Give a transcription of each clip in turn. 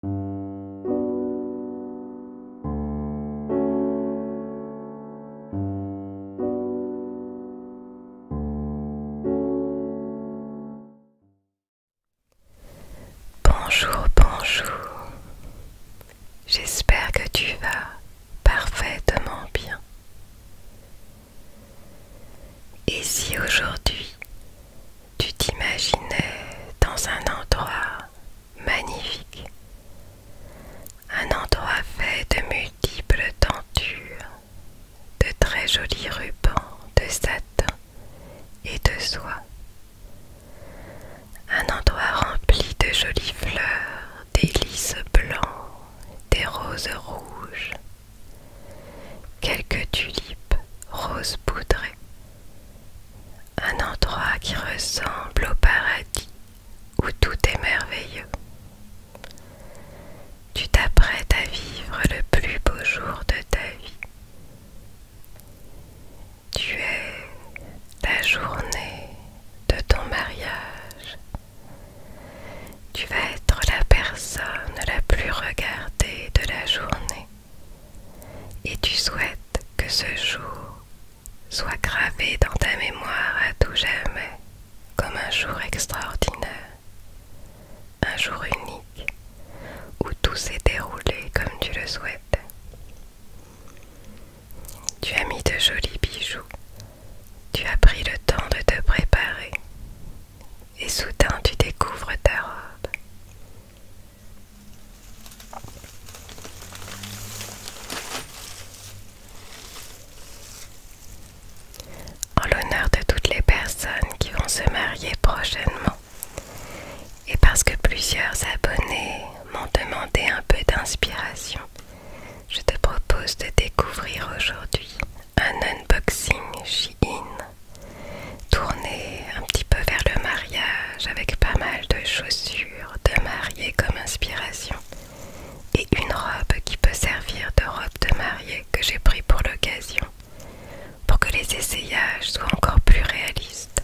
Bonjour, bonjour. J'espère que tu vas parfaitement bien. Et si aujourd'hui tu t'imaginais dans un endroit magnifique, un endroit fait de multiples tentures, de très jolis rubans de satin et de soie, un endroit rempli de jolies fleurs, des lys blancs, des roses rouges, quelques tulipes roses poudrées. Un endroit qui ressemble au paradis où tout est merveilleux. Tu t'apprêtes à vivre le plus beau jour de ta vie. Tu es la journée de ton mariage. Tu vas être la personne la plus regardée de la journée et tu souhaites que ce jour soit gravé dans ta mémoire à tout jamais comme un jour extraordinaire, un jour unique où tout s'est déroulé comme tu le souhaites. Tu as mis de jolis bijoux, tu as pris le temps de te préparer et soudain tu découvres ta robe. En l'honneur de toutes les personnes qui vont se marier prochainement et parce que plusieurs abonnés m'ont demandé un peu d'inspiration, je te propose de découvrir aujourd'hui un unboxing In tournée un petit peu vers le mariage avec pas mal de chaussures de mariée comme inspiration et une robe qui peut servir de robe de mariée que j'ai pris pour l'occasion pour que les essayages soient encore plus réalistes.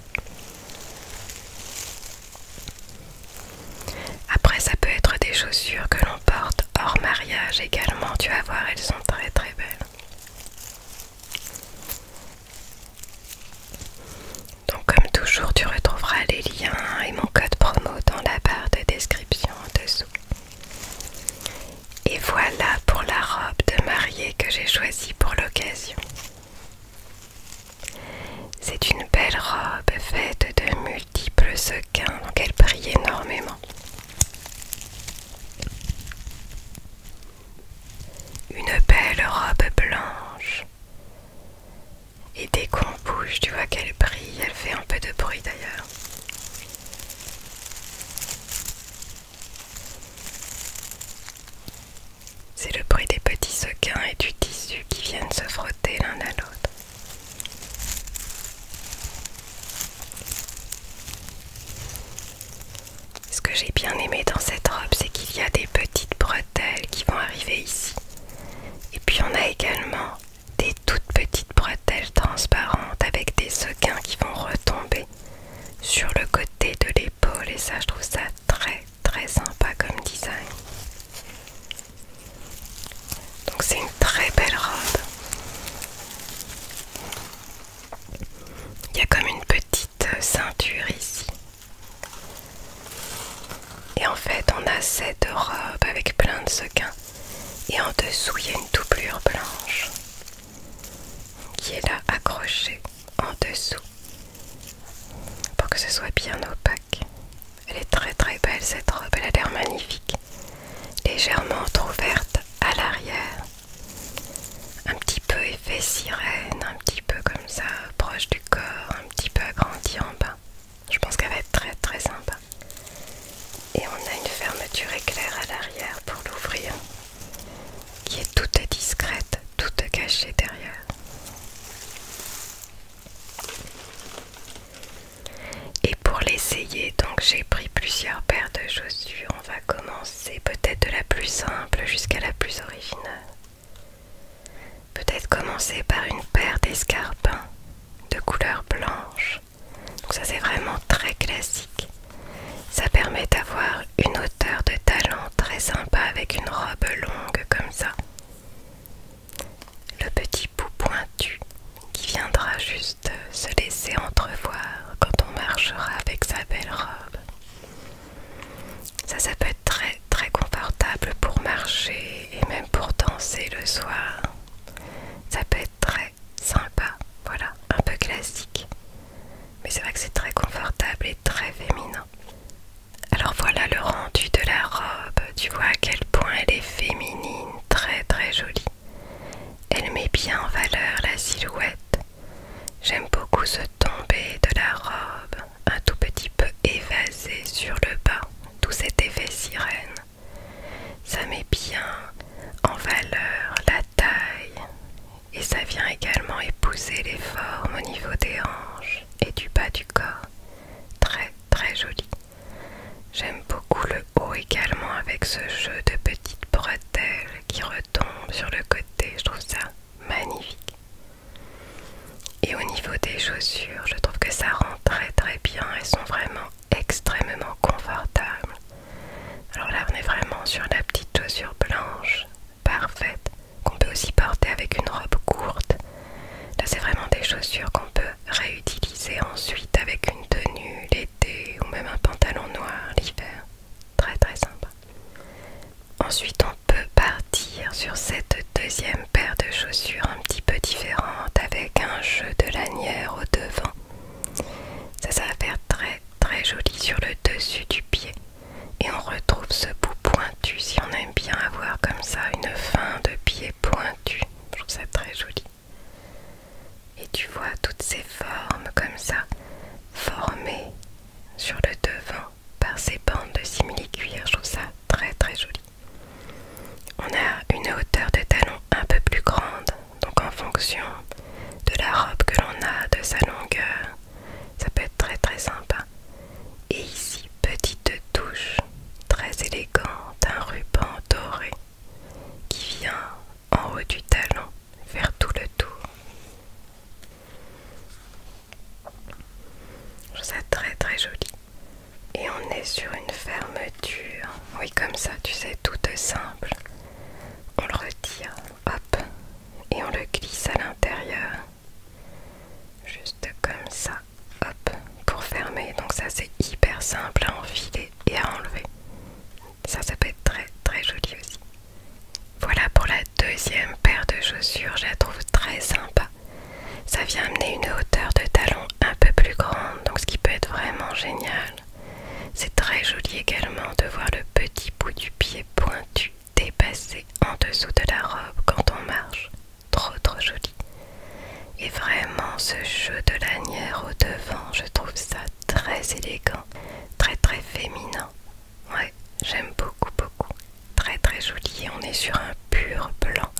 Après ça peut être des chaussures que l'on porte hors mariage également, tu vas voir, elles sont très très belles. Donc comme toujours, tu retrouveras les liens et mon code promo dans la barre de description en dessous. Et voilà pour la robe de mariée que j'ai choisie pour l'occasion. C'est une belle robe faite de multiples sequins, donc elle brille énormément une belle robe blanche. Et dès qu'on bouge, tu vois qu'elle brille, elle fait un peu de bruit d'ailleurs. C'est le bruit des petits sequins et du tissu qui viennent se frotter l'un à l'autre. Ce que j'ai bien aimé dans cette robe, c'est qu'il y a des petites bretelles qui vont arriver ici. Et puis on a également des toutes petites bretelles transparentes avec des sequins qui vont retomber sur le côté de l'épaule. Et ça, je trouve ça très très sympa comme design. Donc c'est une très belle robe. Il y a comme une petite ceinture ici. Et en fait, on a cette robe avec plein de sequins. Et en dessous, il y a une doublure blanche qui est là accrochée en dessous pour que ce soit bien opaque. Elle est très très belle cette robe, elle a l'air magnifique. Légèrement entrouverte à l'arrière un petit peu effet sirène, un petit peu comme ça, proche du corps, un petit peu agrandi en bas. Je pense qu'elle va être très très sympa. Et on a une fermeture éclair à l'arrière pour l'ouvrir, qui est toute discrète, toute cachée derrière. Et pour l'essayer, donc j'ai pris plusieurs paires de chaussures on va commencer peut-être de la plus simple jusqu'à la plus originale. Peut-être commencer par une paire d'escarpins de couleur blanche. ça c'est vraiment très classique. Ça permet d'avoir une hauteur de talent très sympa avec une robe longue comme ça. Le petit bout pointu qui viendra juste se laisser entrevoir quand on marchera avec sa belle robe. Ça, ça peut être très très confortable pour marcher et même pour danser le soir. Ça peut être très sympa, voilà, un peu classique. Mais c'est vrai que c'est très confortable et très féminin. Alors voilà le rendu de la robe. Tu vois à quel point elle est féminine, très très jolie. Elle met bien en valeur la silhouette, J'aime beaucoup ce tombé de la robe, un tout petit peu évasé sur le bas, tout cet effet sirène. Ça met bien en valeur la taille et ça vient également épouser les formes au niveau des hanches et du bas du corps. Très très joli. J'aime beaucoup le haut également avec ce jeu de petites bretelles qui retombent sur le côté. Je trouve ça magnifique. Et au niveau des chaussures, je trouve que ça rend très très bien. Elles sont vraiment extrêmement confortables. Alors là, on est vraiment sur la petite chaussure blanche, parfaite, qu'on peut aussi porter avec une robe courte. Là, c'est vraiment des chaussures qu'on peut réutiliser ensuite avec une tenue l'été ou même un pantalon noir l'hiver. Très très sympa. Ensuite, on peut partir sur cette deuxième paire de chaussures un petit peu différente avec un jeu de lanière au devant. Ça, ça va faire très très joli sur le dessus du pied. Et on retrouve ce bout pointu si on aime bien avoir comme ça une fin de pied pointu, Je trouve ça très joli. Et tu vois toutes ces formes comme ça formées sur le devant par ces bandes de simili-cuir. Je trouve ça très très joli. On a une hauteur de talon un peu plus grande, donc en fonction de la robe que l'on a, de sa longueur, ça peut être très très sympa. Et ici, petite touche très élégante, un ruban doré qui vient en haut du talon faire tout le tour. Je trouve ça très très joli. Et on est sur une fermeture. Oui, comme ça, tu sais, toute simple. On le retire, hop, et on le glisse à l'intérieur. Juste comme ça, hop, pour fermer. Donc ça, c'est hyper simple à enfiler et à enlever. Ça, ça peut être très très joli aussi. Voilà pour la deuxième paire de chaussures, je la trouve très sympa. Ça vient amener une hauteur de talon un peu plus grande, donc ce qui peut être vraiment génial. C'est très joli également de voir le petit bout du pied pointu dépasser en dessous de la robe quand on marche. Trop trop joli. Et vraiment ce jeu de lanière au devant, je trouve ça très élégant, très très féminin, Ouais, j'aime beaucoup, beaucoup. Très, très joli. On est sur un pur blanc.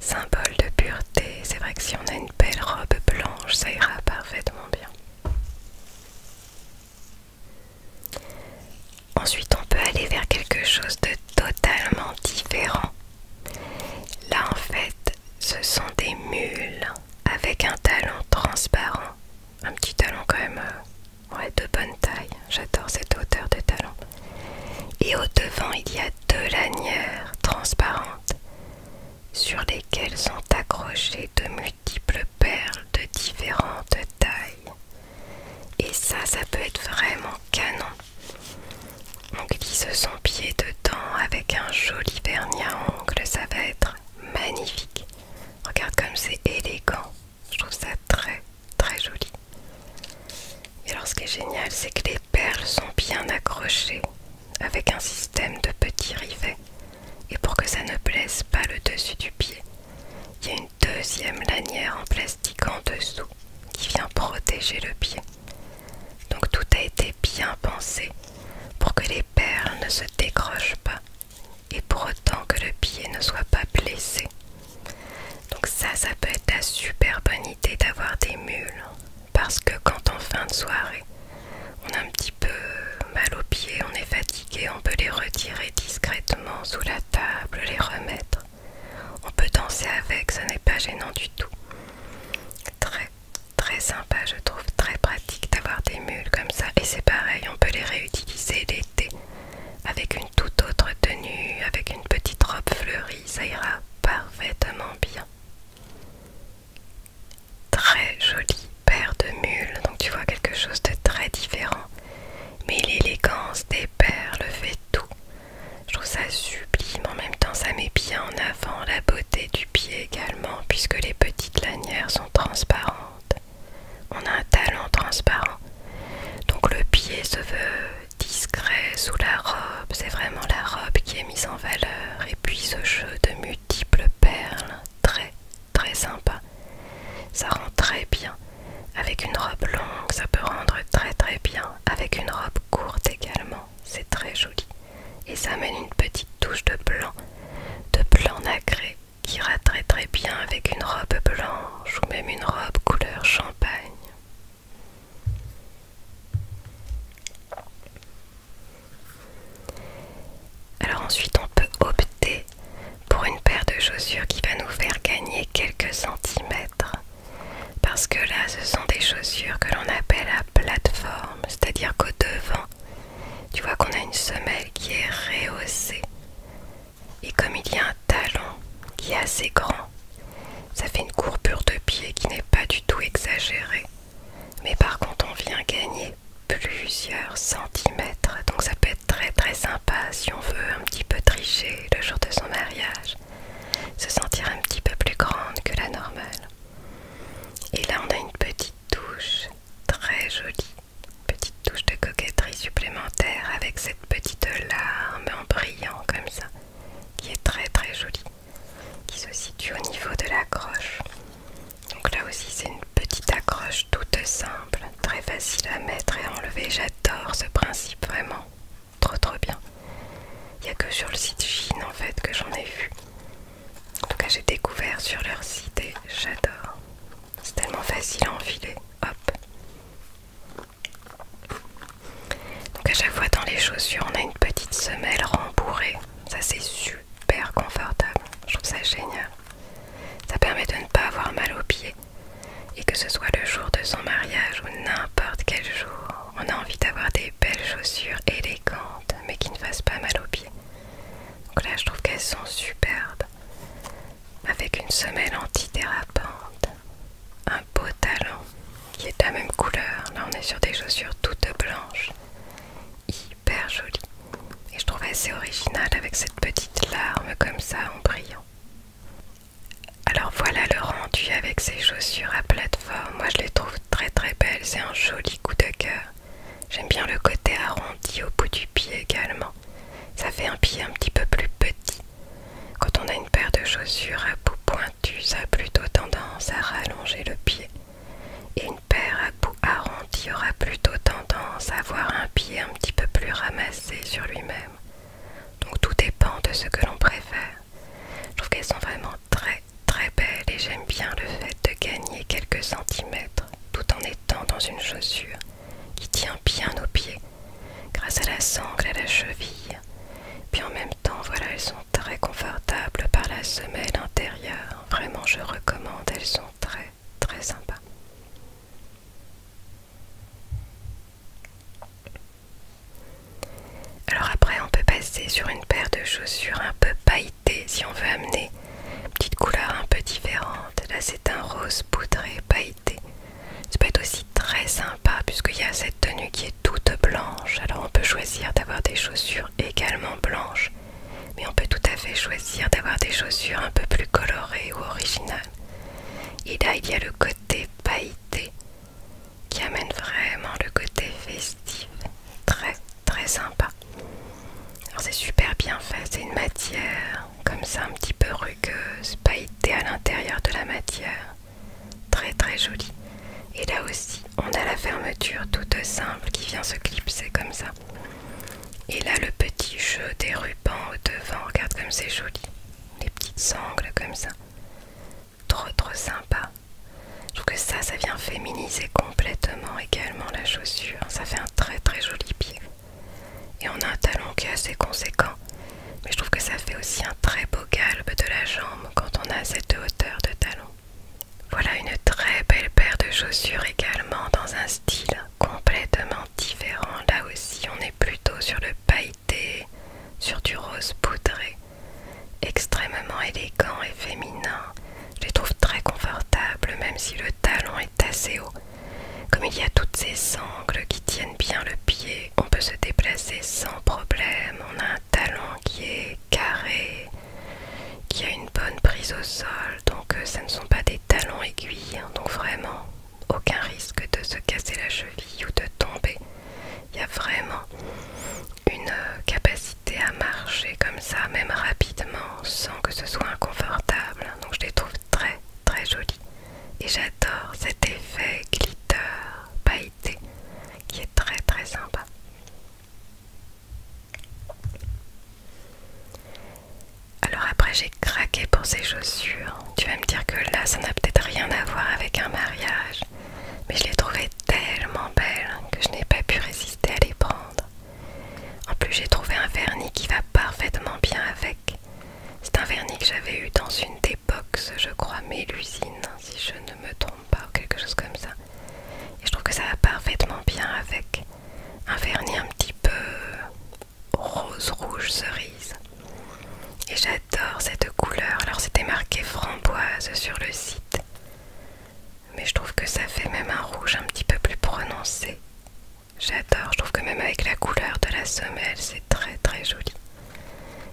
Symbole de pureté. C'est vrai que si on a une belle robe blanche, ça ira parfaitement bien. Ensuite, on peut aller vers quelque chose de totalement différent. Là, en fait, ce sont des mules avec un talon transparent. Un petit talon quand même euh, Ouais, de bonne taille. J'adore cette hauteur de talon. Et au devant, il y a deux lanières transparentes sur lesquelles sont accrochées de multiples perles de différentes tailles. Et ça, ça peut être vraiment canon. On glisse son pied dedans avec un joli vernis à ongles, ça va être magnifique. Regarde comme c'est élégant. Je trouve ça très très joli. Et alors ce qui est génial, c'est que les perles sont bien accrochées avec un système de petits rivets. Et pour que ça ne blesse pas le dessus du pied, il y a une deuxième lanière en plastique en dessous qui vient protéger le pied. Donc tout a été bien pensé pour que les perles ne se décrochent pas et pour autant que le pied ne soit pas blessé. Donc ça, ça peut être la super bonne idée d'avoir des mules, parce que quand en fin de soirée, on a un petit peu mal au pied, on est fatigué, on peut les retirer discrètement sous la table, les remettre. On peut danser avec, ce n'est pas gênant du tout. Très, très sympa, je trouve très pratique d'avoir des mules comme ça. Et c'est pareil, on peut les réutiliser l'été avec une toute autre tenue, avec une petite robe fleurie, ça ira parfaitement bien. Très jolie paire de mules, donc tu vois quelque chose de très différent. Mais l'élégance des perles fait tout. Je trouve ça sublime, en même temps ça met bien en avant la beauté du pied également, puisque les petites lanières sont transparentes. On a un talon transparent. Donc le pied se veut discret sous la robe. C'est vraiment la robe qui est mise en valeur. Et puis ce jeu de multiples perles, très très sympa. Ça rend très bien. Avec une robe longue, ça peut rendre très très bien. Avec une robe courte également, c'est très joli. Et ça amène une petite touche de blanc, de blanc nacré qui ira très très bien avec une robe blanche ou même une robe couleur champagne. Alors ensuite on peut opter pour une paire de chaussures qui va nous faire gagner quelques centimètres. Parce que là ce sont des chaussures que l'on appelle à plateforme, c'est-à-dire qu'au devant, tu vois qu'on a une semelle qui est rehaussée et comme il y a un talon qui est assez grand, ça fait une courbure de pied qui n'est pas du tout exagérée. Mais par contre, on vient gagner plusieurs centimètres. Donc ça peut être très très sympa si on veut un petit peu tricher le jour de son mariage. Se sentir un petit peu plus grande que la normale. Et là, on a une petite douche très jolie Petite touche de coquetterie supplémentaire avec cette petite larme en brillant comme ça, qui est très très jolie, qui se situe au niveau de l'accroche. Donc là aussi c'est une petite accroche toute simple, très facile à mettre et à enlever. J'adore ce principe vraiment, trop trop bien. Il n'y a que sur le site Chine en fait que j'en ai vu. En tout cas j'ai découvert sur leur site et j'adore. C'est tellement facile à enfiler. Hop. Donc à chaque fois dans les chaussures, on a une petite semelle rembourrée. Ça c'est super confortable. Je trouve ça génial. Ça permet de ne pas avoir mal aux pieds. Et que ce soit le jour de son mariage ou n'importe quel jour, on a envie d'avoir des belles chaussures élégantes mais qui ne fassent pas mal aux pieds. Donc là je trouve qu'elles sont superbes avec une semelle antidérapante, un beau talon qui est de la même couleur. Là, on est sur des chaussures toutes blanches, hyper jolies. Et je trouve assez original avec cette petite larme comme ça en brillant. Alors voilà le rendu avec ces chaussures à plateforme. Moi, je les trouve très très belles. C'est un joli coup de cœur. J'aime bien le côté arrondi au bout du pied également. Ça fait un pied un petit peu plus petit. Quand on a une paire de chaussures à bout pointu, ça a plutôt tendance à rallonger le pied. Et une paire à bout arrondi aura plutôt tendance à avoir un pied un petit peu plus ramassé sur lui-même. Donc tout dépend de ce que l'on préfère. Je trouve qu'elles sont vraiment très très belles et j'aime bien le fait de gagner quelques centimètres tout en étant dans une chaussure qui tient bien aux pieds, grâce à la sangle, à la cheville. Puis en même temps, voilà, elles sont très confortables par la semelle intérieure. Vraiment, je recommande, elles sont très très sympas. Alors après, on peut passer sur une paire de chaussures un peu pailletées si on veut amener Petite couleur un peu différente. Là, c'est un rose poudré pailleté. Ça peut être aussi très sympa puisqu'il y a cette tenue qui est toute blanche. Alors, on peut choisir d'avoir des chaussures également blanches, mais on peut tout à fait choisir d'avoir des chaussures un peu plus colorées ou originales. Et là, il y a le côté pailleté qui amène vraiment le côté festif. Très, très sympa. Alors c'est super bien fait, c'est une matière comme ça un petit peu rugueuse, pailletée à l'intérieur de la matière. Très très jolie. Et là aussi, on a la fermeture toute simple qui vient se clipser comme ça. Et là le petit jeu des rubans au devant, regarde comme c'est joli. Les petites sangles comme ça. Trop trop sympa. Je trouve que ça, ça vient féminiser complètement également la chaussure. Ça fait un très très joli pied. Et on a un talon qui est assez conséquent. Mais je trouve que ça fait aussi un très beau galbe de la jambe quand on a cette hauteur de talon. Voilà une très belle paire de chaussures également dans un style complètement différent. Là aussi, on est plutôt sur le pailleté, sur du rose poudré. Extrêmement élégant et féminin. Je les trouve très confortables, même si le talon assez haut. Comme il y a toutes ces sangles qui tiennent bien le pied, on peut se déplacer sans problème. On a un talon qui est carré, qui a une bonne prise au sol, donc euh, ça ne sont pas des talons aiguilles, hein. donc vraiment aucun risque de se casser la cheville ou de tomber. Il y a vraiment une euh, capacité à marcher comme ça, même rapidement, sans que ce soit inconfortable. Hein. Donc je les trouve très très joli et j'adore cet effet glitter pailleté qui est très très sympa. Alors après j'ai craqué pour ces chaussures. Tu vas me dire que là ça n'a peut-être rien à voir avec un mariage. Mais je les trouvais tellement belles que je n'ai pas pu résister à les prendre. En plus j'ai trouvé un vernis qui va parfaitement bien avec. C'est un vernis que j'avais eu dans une des box, je crois, mélusine si je ne me trompe pas, quelque chose comme ça. Et je trouve que ça va parfaitement bien avec un vernis un petit peu rose-rouge cerise. Et j'adore cette couleur. Alors c'était marqué framboise sur le site. Mais je trouve que ça fait même un rouge un petit peu plus prononcé. J'adore, je trouve que même avec la couleur de la semelle, c'est très très joli.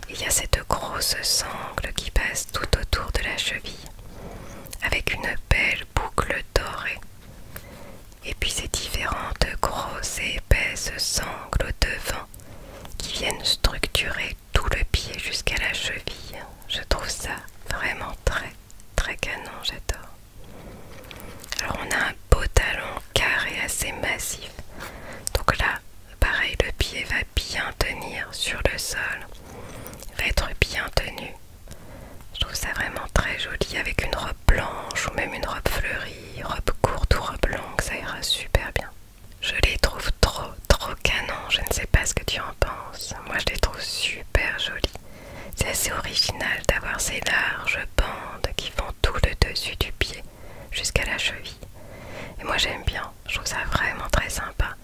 Il y a cette grosse sangle qui passe tout autour de la cheville, avec une belle boucle dorée. Et puis ces différentes grosses et épaisses sangles au devant qui viennent structurer tout le pied jusqu'à la cheville. Je trouve ça vraiment très Très canon, j'adore. Alors on a un beau talon carré assez massif. Donc là, pareil, le pied va bien tenir sur le sol. va être bien tenu. Je trouve ça vraiment très joli avec une robe blanche ou même une robe fleurie, robe courte ou robe longue, ça ira super bien. Je les trouve trop, trop canon. Je ne sais pas ce que tu en penses. Moi, je les trouve super jolies. C'est assez original d'avoir ces larges bandes qui vont tout le dessus du pied jusqu'à la cheville. Et moi j'aime bien, je trouve ça vraiment très sympa.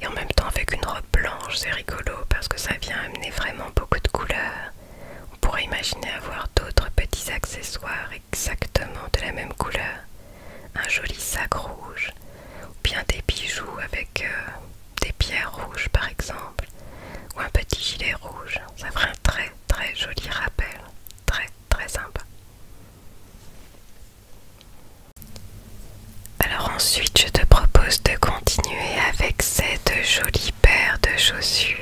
Et en même temps avec une robe blanche c'est rigolo parce que ça vient amener vraiment beaucoup de couleurs. On pourrait imaginer avoir d'autres petits accessoires exactement de la même couleur. Un joli sac rouge, ou bien des bijoux avec euh, des pierres rouges par exemple ou un petit gilet rouge. Ça fera un très très joli rappel, très très sympa. Alors ensuite, je te propose de continuer avec cette jolie paire de chaussures.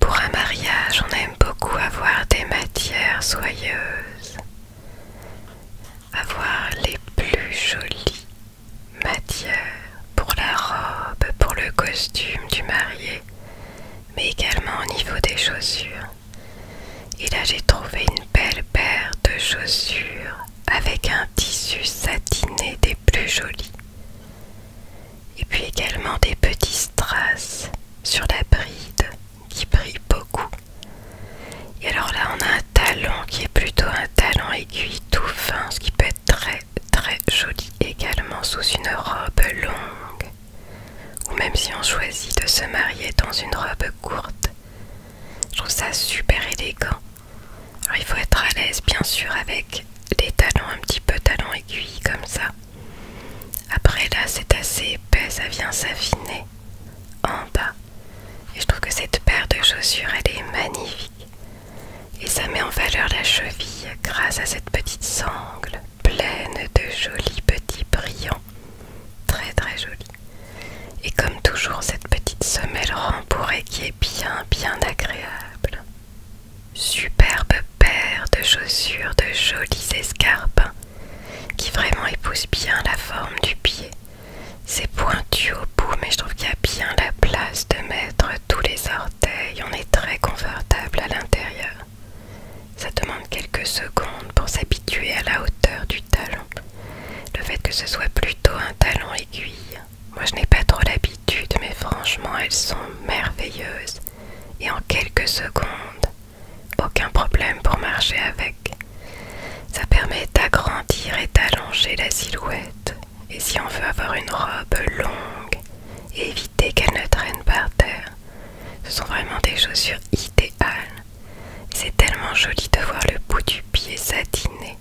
Pour un mariage, on aime beaucoup avoir des matières soyeuses, avoir les plus jolies matière pour la robe, pour le costume du marié, mais également au niveau des chaussures. Et là j'ai trouvé une belle paire de chaussures avec un tissu satiné des plus jolis. Et puis également des petits strass sur la bride qui brille beaucoup. Et alors là on a un talon qui est plutôt un talon aiguille tout fin, ce qui peut très très jolie également sous une robe longue. Ou même si on choisit de se marier dans une robe courte. Je trouve ça super élégant. Alors il faut être à l'aise bien sûr avec les talons un petit peu talons aiguilles comme ça. Après là c'est assez épais, ça vient s'affiner en bas. Et je trouve que cette paire de chaussures elle est magnifique. Et ça met en valeur la cheville grâce à cette petite sangle pleine de jolis petits brillants. Très très jolis. Et comme toujours, cette petite semelle rembourrée qui est bien bien agréable. Superbe paire de chaussures de jolis escarpins qui vraiment épousent bien la forme du pied c'est pointu au bout, mais je trouve qu'il y a bien la place de mettre tous les orteils. On est très confortable à l'intérieur. Ça demande quelques secondes pour s'habituer à la hauteur du talon. Le fait que ce soit plutôt un talon aiguille. Moi je n'ai pas trop l'habitude, mais franchement elles sont merveilleuses. Et en quelques secondes, aucun problème pour marcher avec. Ça permet d'agrandir et d'allonger la silhouette. Et si on veut avoir une robe longue et éviter qu'elle ne traîne par terre, ce sont vraiment des chaussures idéales. C'est tellement joli de voir le bout du pied satiné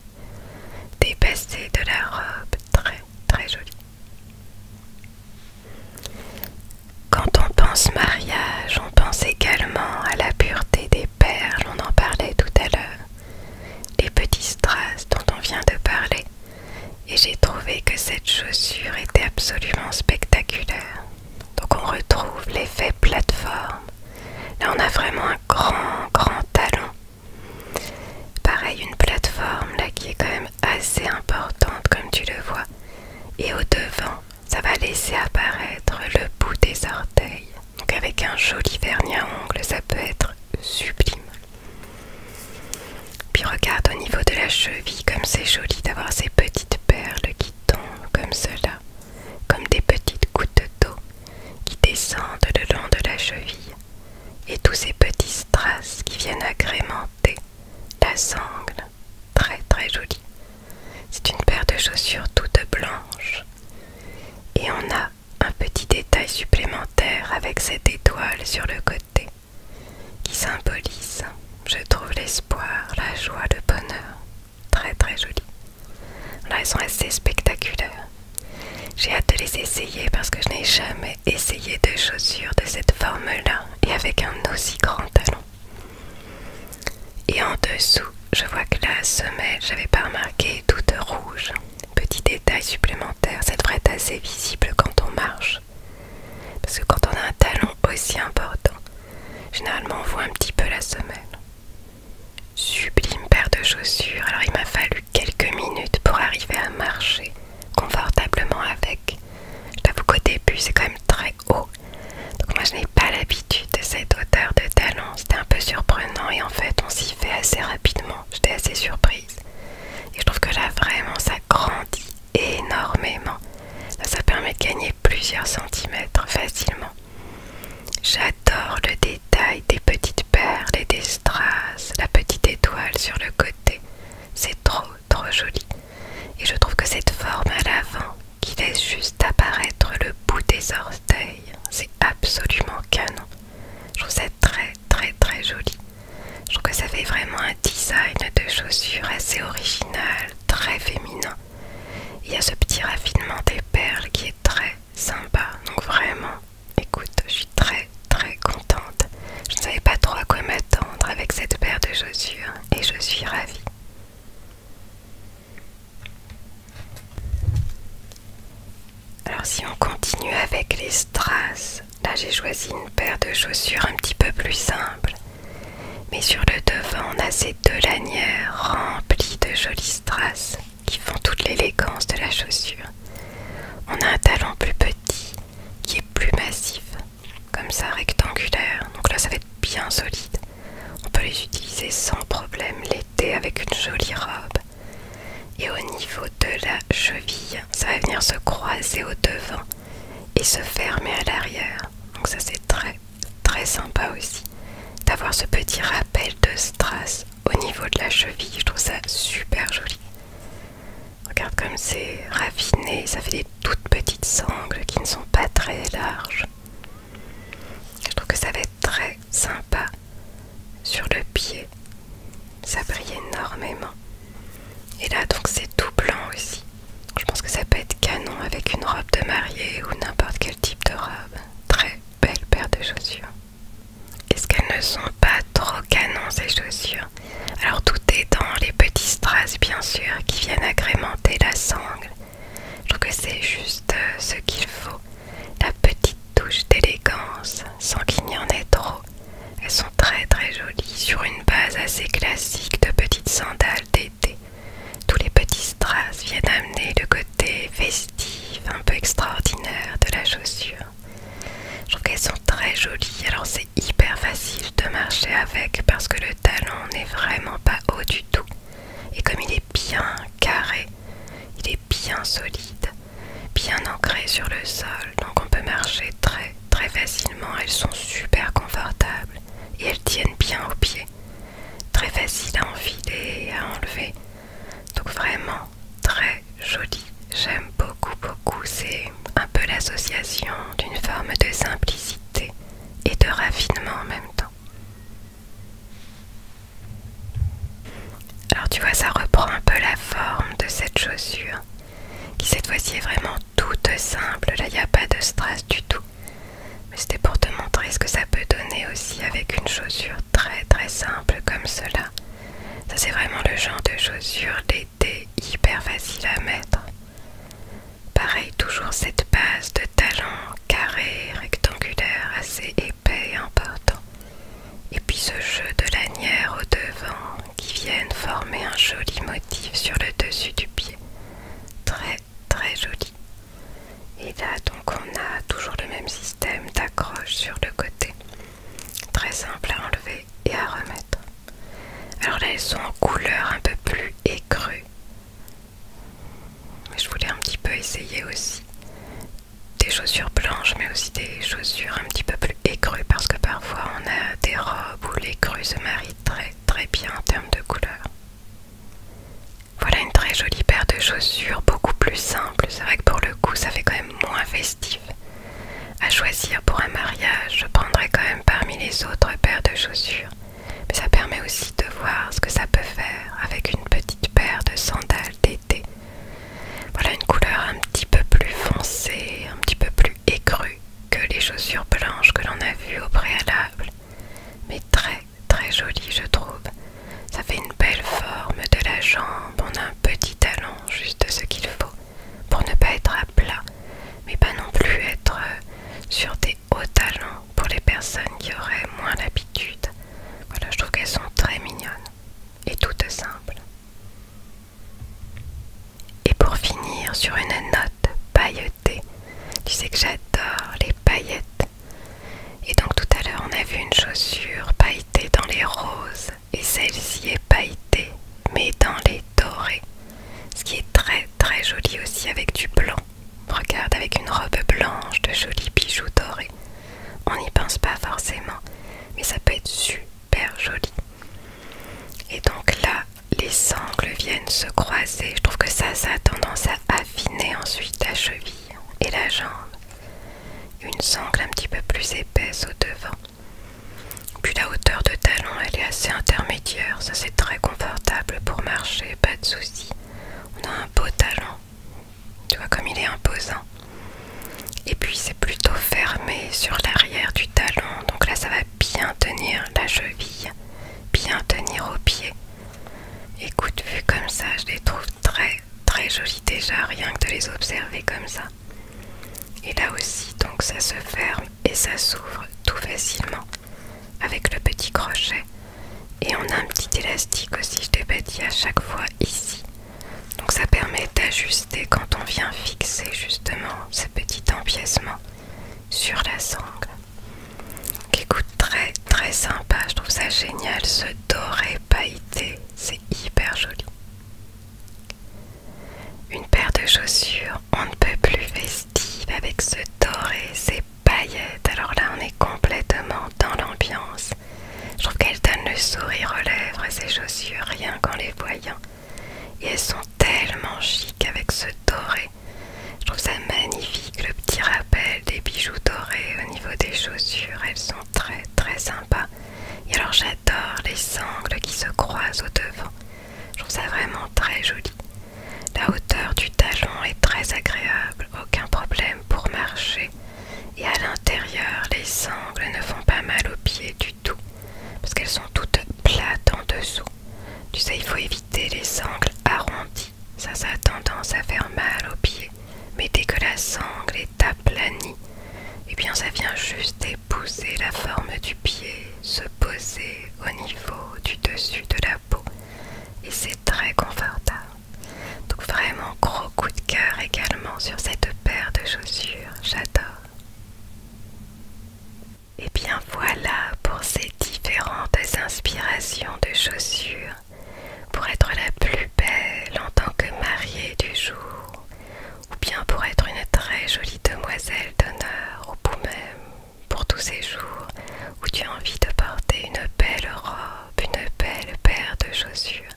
dépasser de la robe, très très joli. Quand on pense mariage, on pense également à la pureté des perles, on en parlait tout à l'heure les petits strass dont on vient de parler, et j'ai trouvé que cette chaussure était absolument spectaculaire. Donc on retrouve l'effet plateforme. Là on a vraiment un grand, grand talon. Pareil, une plateforme là qui est quand même assez importante comme tu le vois. Et au devant, ça va laisser apparaître le bout des orteils. Donc avec un joli vernis à ongles, ça peut être sublime. Puis regarde au niveau de la cheville, comme c'est joli d'avoir ces petites perles qui tombent comme cela, comme des petites gouttes d'eau qui descendent le long de la cheville, et tous ces petits strass qui viennent agrémenter la sangle, très très jolie. C'est une paire de chaussures toutes blanches, et on a un petit détail supplémentaire avec cette étoile sur le côté qui symbolise, je trouve, l'espoir, la joie, le bonheur. Très très joli. Là, elles sont assez spectaculaires. J'ai hâte de les essayer parce que je n'ai jamais essayé de chaussures de cette forme-là et avec un aussi grand talon. Et en dessous, je vois que la semelle, j'avais pas remarqué, toute rouge. Petit détail supplémentaire, ça devrait être assez visible quand on marche. Parce que quand on a un talon aussi important, généralement on voit un petit peu la semelle. Sublime paire de chaussures, alors il m'a fallu quelques minutes pour arriver à marcher confortablement avec. Je t'avoue qu'au début c'est quand même très haut. Donc moi je n'ai pas l'habitude de cette hauteur de talon, c'était un peu surprenant et en fait on s'y fait assez rapidement j'étais assez surprise. Et je trouve que là vraiment ça grandit énormément. ça permet de gagner plusieurs centimètres facilement. J'adore le détail des petites perles et des strass, la petite étoile sur le côté. C'est trop trop joli. Et je trouve que cette forme à l'avant qui laisse juste apparaître le bout des orteils, c'est absolument canon. Je trouve ça très très très joli. Je trouve que ça fait vraiment un design de chaussures assez original, très féminin. Il y a ce petit raffinement des perles qui est très sympa. Donc vraiment, écoute, je suis très très contente. Je ne savais pas trop à quoi m'attendre avec cette paire de chaussures et je suis ravie. Alors si on continue avec les strass, là j'ai choisi une paire de chaussures un petit peu plus simple. Mais sur le devant, on a ces deux lanières remplies de jolies strass qui font toute l'élégance de la chaussure. On a un talon plus petit qui est plus massif, comme ça rectangulaire. Donc là ça va être bien solide. On peut les utiliser sans problème l'été avec une jolie robe. Et au niveau de la cheville, ça va venir se croiser au devant et se fermer à l'arrière. Donc ça c'est très très sympa aussi d'avoir ce petit rappel de strass au niveau de la cheville. Je trouve ça super joli. Regarde comme c'est raffiné, ça fait des toutes petites sangles qui ne sont pas très larges. Je trouve que ça va être très sympa sur le pied ça brille énormément. Et là donc c'est tout blanc aussi. Je pense que ça peut être canon avec une robe de mariée ou n'importe quel type de robe. Très belle paire de chaussures. Est-ce qu'elles ne sont pas trop canon ces chaussures Alors tout est dans les petits strass bien sûr qui viennent agrémenter la sangle. Je trouve que c'est juste euh, ce qu'il faut. La petite touche d'élégance, sans qu'il n'y en ait trop. Elles sont très très jolies sur une base assez classique de petites sandales d'été. Tous les petits strass viennent amener le côté festif, un peu extraordinaire de la chaussure. Je trouve qu'elles sont très jolies, alors c'est hyper facile de marcher avec parce que le talon n'est vraiment pas haut du tout. Et comme il est bien carré, il est bien solide, bien ancrées sur le sol, donc on peut marcher très très facilement. Elles sont super confortables et elles tiennent bien au pied Très facile à enfiler et à enlever. Donc vraiment très jolie J'aime beaucoup beaucoup. C'est un peu l'association d'une forme de simplicité et de raffinement en même temps. Alors tu vois, ça reprend un peu la forme de cette chaussure, qui cette fois-ci est vraiment toute simple. Là, il n'y a pas de strass du tout. Mais c'était pour te montrer ce que ça peut donner aussi avec une chaussure très très simple comme cela. Ça c'est vraiment le genre de chaussure d'été hyper facile à mettre. Pareil, toujours cette base de talon carré, rectangulaire, assez épais et important. Et puis ce jeu de lanières au devant qui viennent former un joli motif sur le dessus du pied. Très très joli. Et là donc on a toujours le même système d'accroche sur le côté. Très simple à enlever et à remettre. Alors là elles sont en couleur un peu plus écrue. Mais je voulais un petit peu essayer aussi des chaussures blanches mais aussi des chaussures un petit peu plus écrues parce que parfois on a des robes où crues se marient très très bien en termes de couleur. Voilà une très jolie paire de chaussures beaucoup plus simple. C'est vrai que pour le coup ça fait quand même moins festif. À choisir pour un mariage, je prendrais quand même parmi les autres paires de chaussures. Mais ça permet aussi de voir ce que ça peut faire avec une petite paire de sandales voilà une couleur un petit peu plus foncée, un petit peu plus écrue que les chaussures blanches que l'on a vues au préalable. Mais très très jolie je trouve. Ça fait une belle forme de la jambe, on a un petit talon, juste ce qu'il faut pour ne pas être à plat, mais pas non plus être euh, sur des hauts talons pour les personnes qui auraient moins l'habitude. Voilà, je trouve qu'elles sont très mignonnes et toute simple. Et pour finir sur une note pailletée, tu sais que j'adore les paillettes. Et donc tout à l'heure on a vu une chaussure pailletée dans les roses et celle-ci est pailletée mais dans les dorés. Ce qui est très très joli aussi avec du blanc. Regarde avec une robe blanche de jolis bijoux dorés. On n'y pense pas forcément, mais ça peut être super joli. Et donc là, les sangles viennent se croiser. Je trouve que ça, ça a tendance à affiner ensuite la cheville et la jambe. Une sangle un petit peu plus épaisse au devant. Puis la hauteur de talon, elle est assez intermédiaire. Ça, c'est très confortable pour marcher, pas de souci. On a un beau talon tu vois comme il est imposant. Et puis c'est plutôt fermé sur l'arrière du talon. Donc là ça va bien tenir la cheville, bien tenir au pied. Écoute, vu comme ça, je les trouve très très jolies déjà, rien que de les observer comme ça. Et là aussi, donc ça se ferme et ça s'ouvre tout facilement avec le petit crochet. Et on a un petit élastique aussi, je t'ai bâti à chaque fois ici. Donc ça permet d'ajuster quand on vient fixer justement ce petit empiècement sur la sangle. Qui écoute, très très sympa, je trouve ça génial ce doré pailleté, c'est hyper joli. Une paire de chaussures, on ne peut plus festive avec ce doré, ces paillettes. Alors là, on est complètement dans l'ambiance. Je trouve qu'elles donnent le sourire aux lèvres à ses chaussures rien qu'en les voyant. Et elles sont tellement chic avec ce doré. Je trouve ça magnifique le petit rappel des bijoux dorés au niveau des chaussures. Elles sont très très sympas. Et alors j'adore les sangles qui se croisent au devant. Je trouve ça vraiment très joli. La hauteur du talon est très agréable, aucun problème pour marcher. Et à l'intérieur, les sangles ne font pas mal aux pieds du tout, parce qu'elles sont toutes plates en dessous. Tu sais, il faut éviter les sangles arrondies, ça, ça a tendance à faire mal aux pieds. Mais dès que la sangle est aplanie, eh bien ça vient juste épouser la forme du pied, se poser au niveau du dessus de la peau. Et c'est très confortable. Donc vraiment gros coup de cœur également sur cette paire de chaussures, j'adore. Et bien voilà pour ces différentes inspirations de chaussures pour être la plus belle en tant que mariée du jour ou bien pour être une très jolie demoiselle d'honneur au bout même pour tous ces jours où tu as envie de porter une belle robe, une belle paire de chaussures,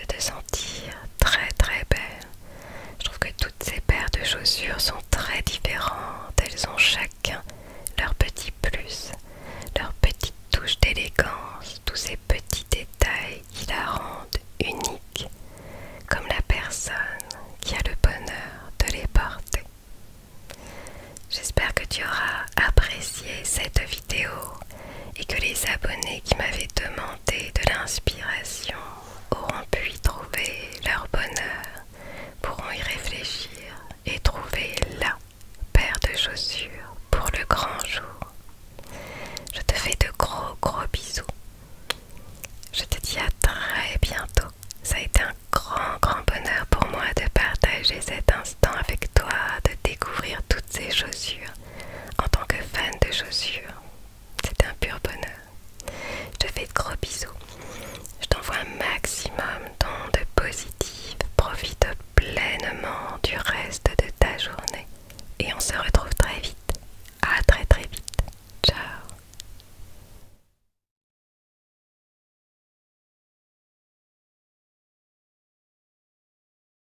de te sentir très très belle. Je trouve que toutes ces paires de chaussures sont très différentes. Elles ont chacun leur petit plus, leur petite touche d'élégance, tous ces petits détails qui la rendent unique, comme la personne qui a le bonheur de les porter. J'espère que tu auras apprécié cette vidéo et que les abonnés qui m'avaient demandé de l'inspiration auront pu y trouver leur bonheur, pourront y réfléchir et trouver la paire de chaussures pour le grand jour. Je te fais de gros gros bisous. Je te dis à très bientôt. Ça a été un grand grand bonheur pour moi de partager cet instant avec toi, de découvrir toutes ces chaussures en tant que fan de chaussures, c'est un pur bonheur. Je te fais de gros bisous. Je t'envoie un maximum d'ondes positives. Profite pleinement du reste de ta journée. Et on se retrouve très vite. A très très vite. Ciao.